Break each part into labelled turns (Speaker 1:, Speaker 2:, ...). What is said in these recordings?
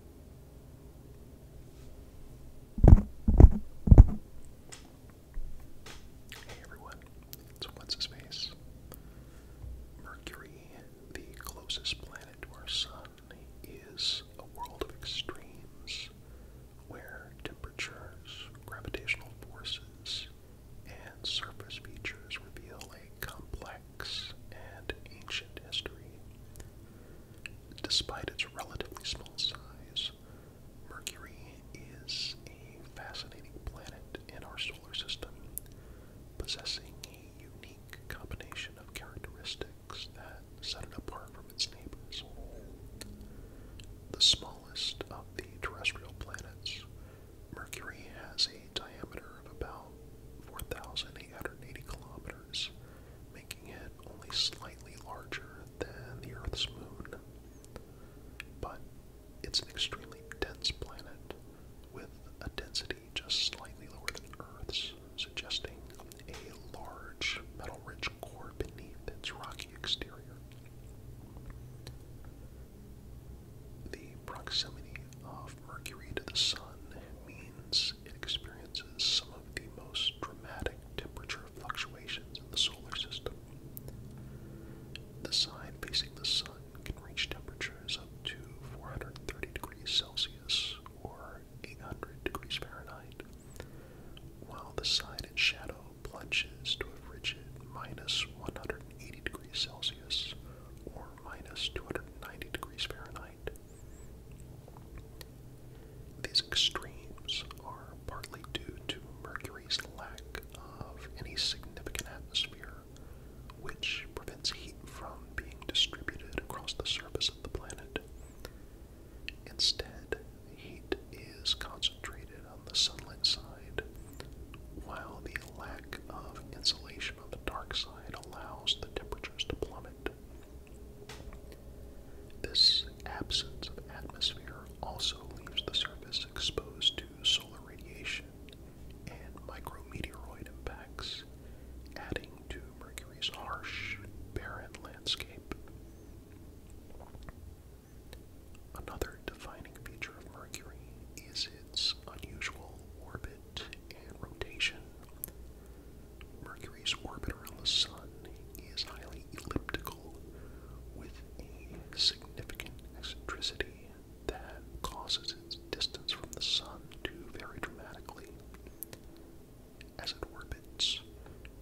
Speaker 1: Hey everyone, it's What's His Face? Mercury, the closest planet to our Sun, is a world of extremes where temperatures, gravitational forces, and surface features reveal a complex and Ancient History. Despite its relatively small size, Mercury is a fascinating planet in our solar system, possessing a unique combination of characteristics that set it apart from its neighbors. The smallest of the terrestrial planets, Mercury has a diameter of about 4,880 kilometers making it only slightly larger than the Earth's moon. But it's an extremely dense planet with a density just slightly lower than Earth's, suggesting a large metal rich core beneath its rocky exterior. The proximity of Mercury to the Sun means it experiences some of the most dramatic temperature fluctuations in the solar system. The side facing the sun can reach temperatures up to 430 degrees Celsius or 800 degrees Fahrenheit, while the side in shadow plunges to a frigid minus 180 degrees Celsius or minus 290 degrees Fahrenheit. These extremes are partly due to Mercury's lack of any significant atmosphere, which prevents heat from being distributed across the surface of the planet. Instead, heat is concentrated on the sunlit side, while the lack of insulation on the dark side allows the temperatures to plummet. This absence of atmosphere also leaves the surface exposed to solar radiation and micrometeoroid impacts, adding to Mercury's harsh, barren landscape. Another defining feature of Mercury is its unusual orbit and rotation. Mercury's orbit around the Sun is highly elliptical with a significant eccentricity that causes its distance from the Sun to vary dramatically. As it orbits,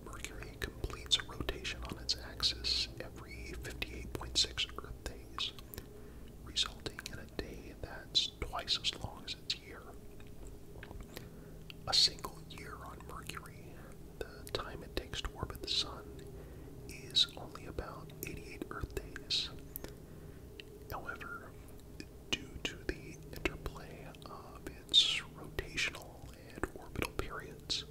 Speaker 1: Mercury completes a rotation on its axis every 58.6 Earth days, resulting in a day that's twice as long as its year. A single year on Mercury, the time it takes to orbit the Sun, is only about 88 Earth days. However, due to the interplay of its rotational and orbital periods,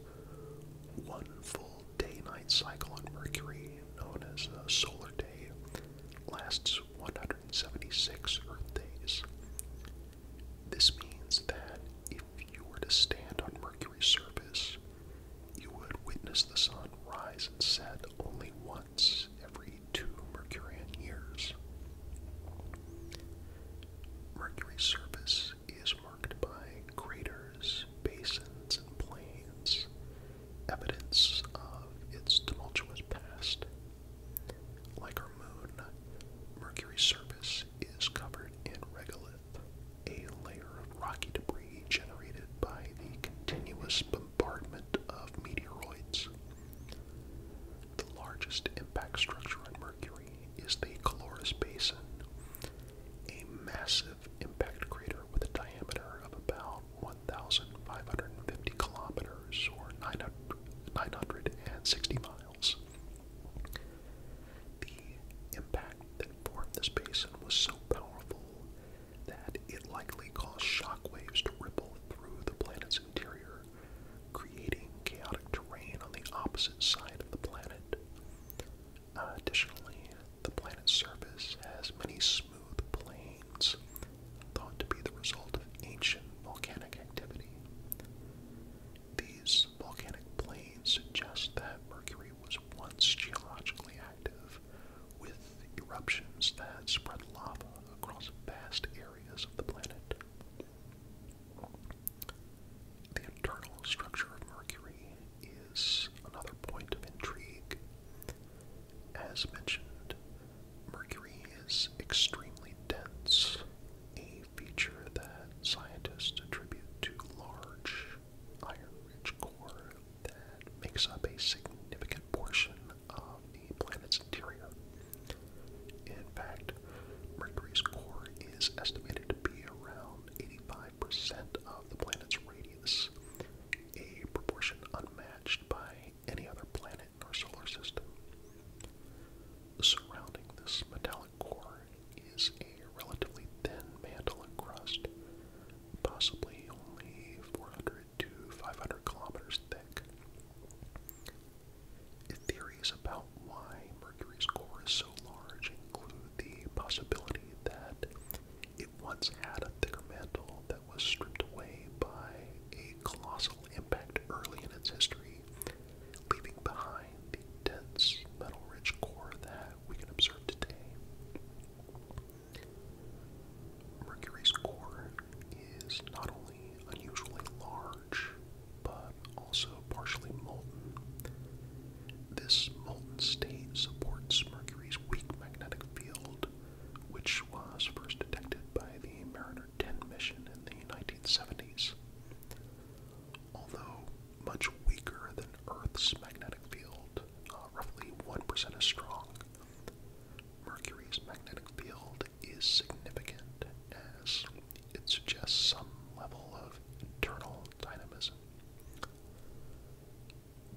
Speaker 1: one full day night cycle on Mercury, known as a solar day, lasts 176 Earth days. This means that if you were to stand on Mercury's surface, you would witness the sun rise and set only once every two Mercurian years. Mercury's surface is marked by craters, basins, and plains, evidence of its tumultuous past. Like our moon, Mercury's surface is covered in regolith, a layer of rocky debris generated by the continuous bombardment of meteoroids. The largest impact structure on Mercury is the Caloris Basin, a massive impact crater with a diameter of about 1,550 kilometers or 900, 960 miles. The impact that formed this basin was so powerful that it likely caused shock waves to ripple through the planet's interior, creating chaotic terrain on the opposite side of the planet. additionally, the planet's surface has many smooth plains, thought to be the result of ancient volcanic activity. These volcanic plains suggest that Mercury was once geologically active, with eruptions that spread lava across vast areas of the planet. The internal structure of Mercury is another point of intrigue. As mentioned, Mercury is extremely dense, a feature that scientists attribute to large, iron-rich core that makes up a significant portion of the planet's interior. In fact, Mercury's core is estimated to be around 85% of the planet's radius, a proportion unmatched by any other planet in our solar system. Surrounding this metallic core is a relatively thin mantle and crust, possibly only 400 to 500 kilometers thick. Theories about why Mercury's core is so large include the possibility that it once had a thicker mantle that was stripped away by a colossal impact early in its history, leaving behind the dense, metal rich core that we can observe today. Mercury's core is not only unusually large, but also partially molten. This molten state supports Mercury's weak magnetic field, which was first detected by the Mariner 10 mission in the 1970s. Although much weaker than Earth's magnetic field, uh, roughly 1% as strong, Mercury's magnetic field is significant as it suggests some level of internal dynamism.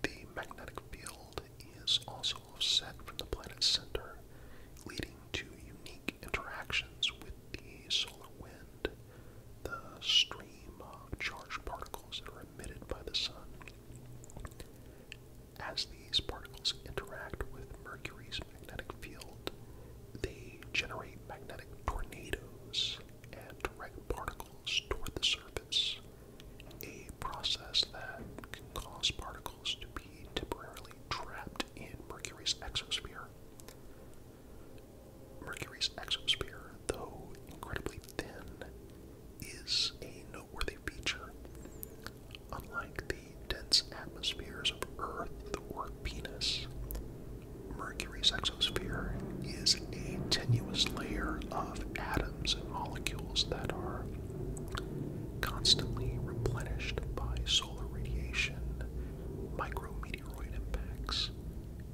Speaker 1: The magnetic field is also offset from the planet's center, leading to unique interactions with the solar wind, the stream of charged particles that are emitted by the sun. As these particles interact with Mercury's magnetic field, they generate magnetic tornadoes and direct particles toward the surface, a process that can cause particles to be temporarily trapped in Mercury's exosphere. Mercury's exosphere, though incredibly thin, is a noteworthy feature. Unlike the dense atmospheres of Earth or Venus, Mercury's exosphere is a tenuous layer of atoms and molecules that are constantly replenished by solar radiation, micrometeoroid impacts,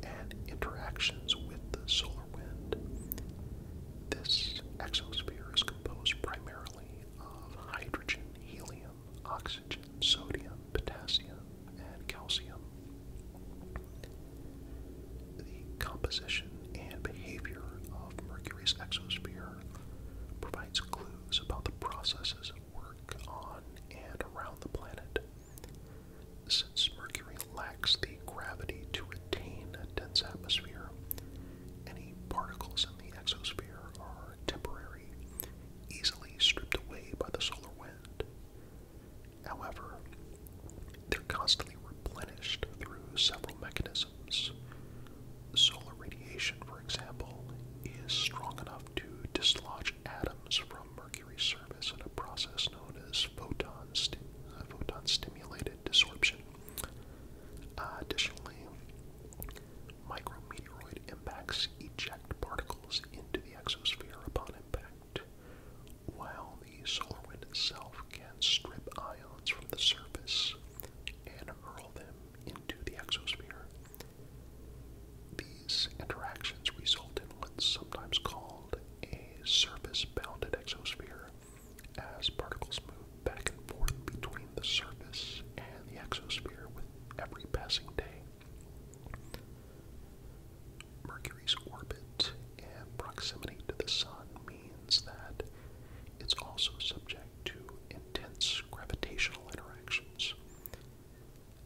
Speaker 1: and interactions with the solar wind. This exosphere is composed primarily of hydrogen, helium, oxygen, sodium, potassium, and calcium. The composition and behavior of Mercury's exosphere provides clues about the processes at work on and around the planet. Since Mercury lacks the gravity to retain a dense atmosphere, any particles in the exosphere are temporary, easily stripped away by the solar wind. However, they're constantly replenished through several mechanisms. Solar radiation, for example, is strong enough to dislodge atoms from Mercury's surface in a process known as photon, sti uh, photon stimulated desorption. additionally, micrometeoroid impacts eject particles into the exosphere upon impact. While the solar wind itself can strip ions from the surface and hurl them into the exosphere, these interactions result in what's sometimes called a surface bounded exosphere as particles move back and forth between the surface and the exosphere with every passing day. Mercury's orbit and proximity to the Sun means that it's also subject to intense gravitational interactions.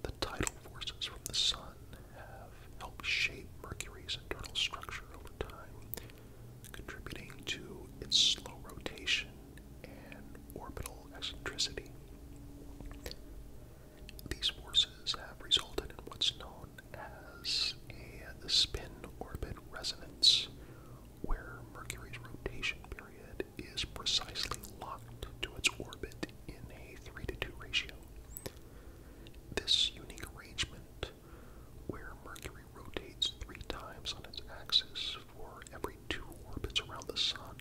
Speaker 1: The tidal forces from the Sun have helped shape Mercury's internal structure over time, contributing to its slow rotation and orbital eccentricity. These forces have resulted in what's known as a spin orbit resonance, where Mercury's rotation period is precisely locked to its orbit in a 3 to 2 ratio. This unique arrangement, where Mercury rotates three times on its axis for every two orbits around the Sun,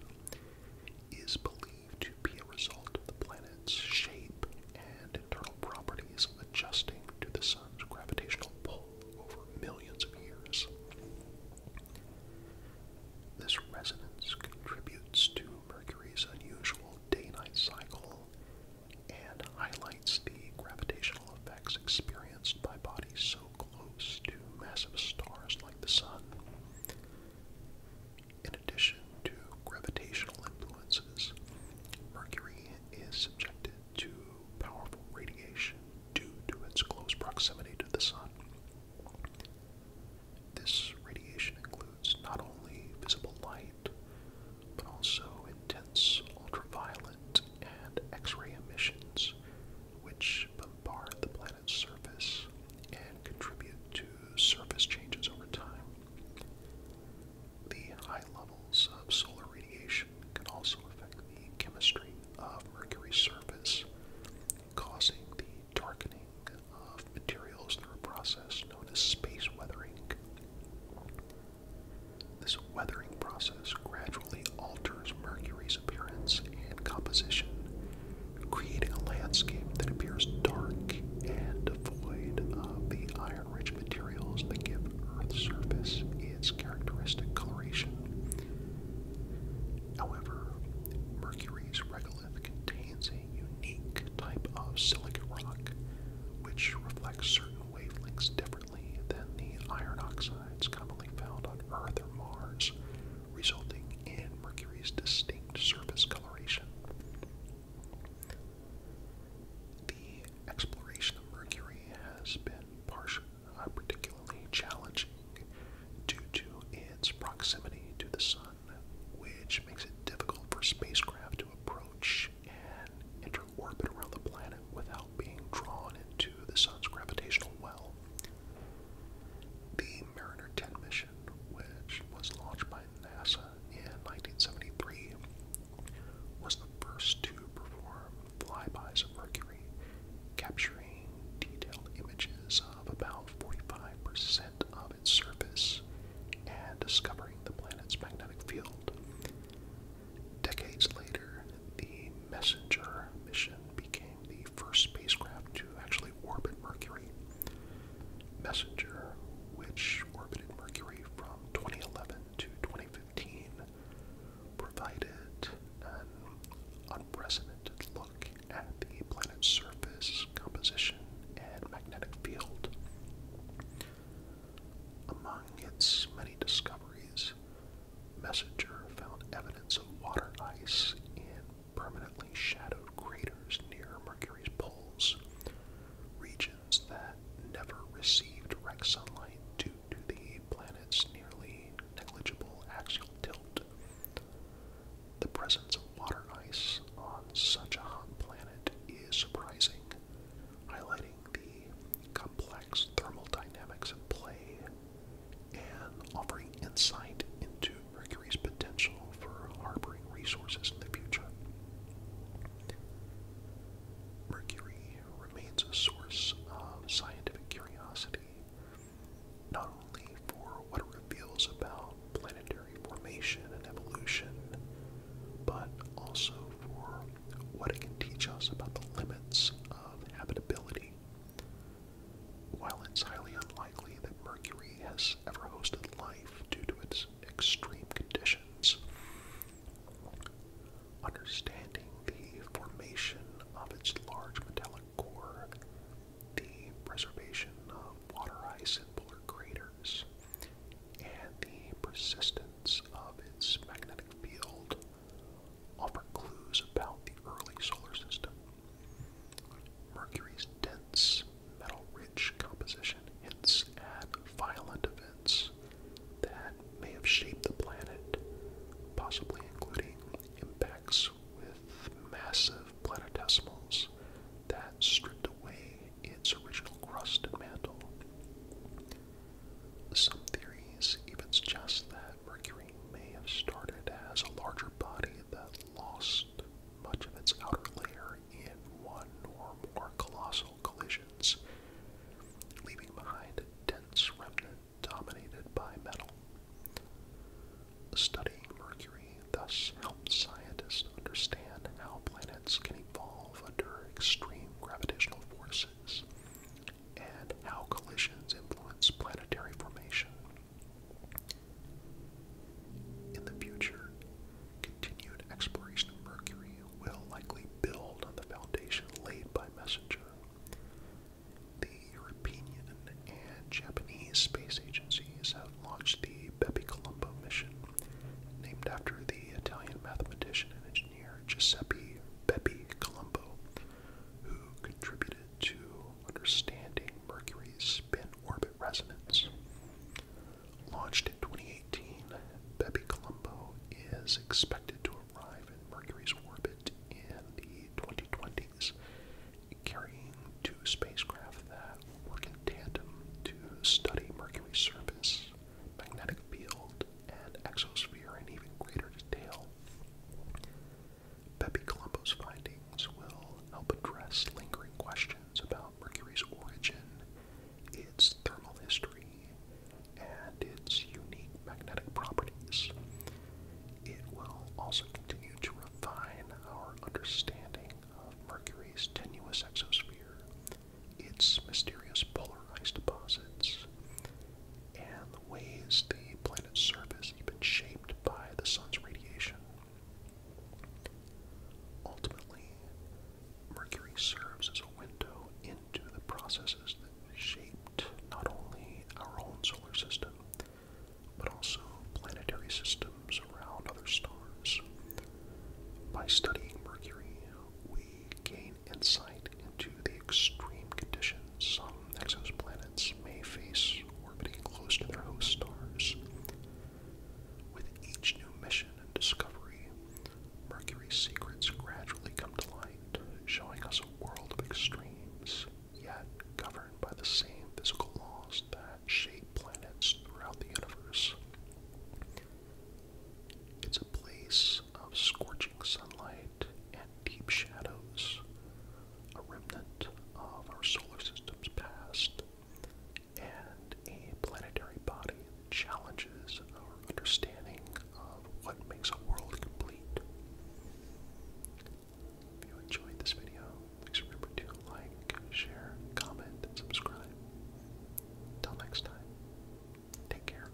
Speaker 1: is believed to be a result of the planet's shape and internal properties adjusting to the sun's gravitational pull over millions of years. This resonance contributes to Mercury's unusual day-night cycle and highlights the gravitational effects experienced by bodies so close to massive stars like the Sun. In addition to gravitational influences, Mercury is subjected to powerful radiation due to its close proximity to the Sun. This radiation includes not only visible light, but also intense ultraviolet and X ray emissions, which bombard the planet's surface and contribute to surface changes over time. The high levels of solar radiation can also affect the chemistry of Mercury's surface, causing the darkening of materials through a process known as space weathering. This weathering process gradually alters Mercury's appearance and composition, creating a landscape that appears dark and devoid of uh, the iron rich materials that give Earth's surface its characteristic coloration. However, Mercury's regolith contains a unique type of silicate rock which reflects certain wavelengths differently than the iron oxides commonly found on Earth or Mars, resulting in Mercury's distinct surface coloration. The exploration of Mercury has been uh, particularly challenging due to its proximity to the Sun, which makes it difficult for spacecraft to approach and enter orbit around the planet without being drawn into the Sun's gravitational well. The Mariner 10 mission, which was launched by NASA in 1973 was the first to perform flybys of Mercury, capturing detailed images of about 45% of its surface and discovering the planet's magnetic field. Decades later, the Messenger mission became the first spacecraft to actually orbit Mercury. Messenger, which orbited Mercury from 2011 to 2015, provided an unprecedented look at the planet's surface, composition, and magnetic field. Among its many discoveries, Messenger found evidence of water ice in permanently shadowed craters near Mercury's poles, regions that never received direct sunlight due to the planet's nearly negligible axial tilt. The presence of water ice on such a hot planet is surprising, highlighting the complex thermal dynamics at play and offering insight into Mercury's potential for harboring resources in the future. Mercury remains a source of scientific curiosity, not only for what it reveals about planetary formation and evolution, but also for what it can teach us about the limits of habitability. While it's highly unlikely, that Mercury has ever hosted life due to its extreme conditions. Understanding the formation of its large metallic core, the preservation of water ice in polar craters, and the persistence of its magnetic field offer clues about the early solar system Mercury's dense, metal rich composition hints at violent events that may have shaped the planet, possibly including impacts with massive planetesimals that stripped away its original crust and mantle. Some theories even suggest that Mercury may have started as a larger body that lost much of its outer layer in one or more colossal collisions, leaving behind a dense remnant dominated by metal. Studying Mercury thus helps scientists understand how planets can evolve under extreme gravitational forces and how collisions influence planetary formation. In the future, continued exploration of Mercury will likely build on the foundation laid by Messenger. The European and Japanese space agencies have launched the Bepi Colombo mission, named after the Italian mathematician and engineer Giuseppe Bepi Colombo, who contributed to understanding Mercury's spin orbit resonance. Launched in 2018, Bebe Colombo is expected to arrive in Mercury's orbit in the 2020s, carrying two spacecraft that work in tandem to study Mercury's surface, magnetic field, and exosphere in even greater detail. Pepe Colombo's findings will help address lingering questions about Mercury's origin, its thermal history, and its unique magnetic properties. It will also continue to refine our understanding of Mercury's tenuous exosphere, its mysterious polar ice deposits, and the ways the planet's surface has been shaped by the sun's radiation. Ultimately, Mercury serves as a window into the processes that shaped not only our own solar system, but also planetary systems around other stars. By studying Mercury, we gain insight into the extreme conditions some exoplanets may face close to their host stars. With each new mission and discovery, Mercury's secrets gradually come to light, showing us a world of extremes, yet governed by the same physical laws that shape planets throughout the universe. It's a place of scorching sunlight and deep shadows, a remnant of our solar system's past, and a planetary body challenges our understanding of what makes a world complete. If you enjoyed this video, please remember to like, share, comment, and subscribe. Until next time, take care.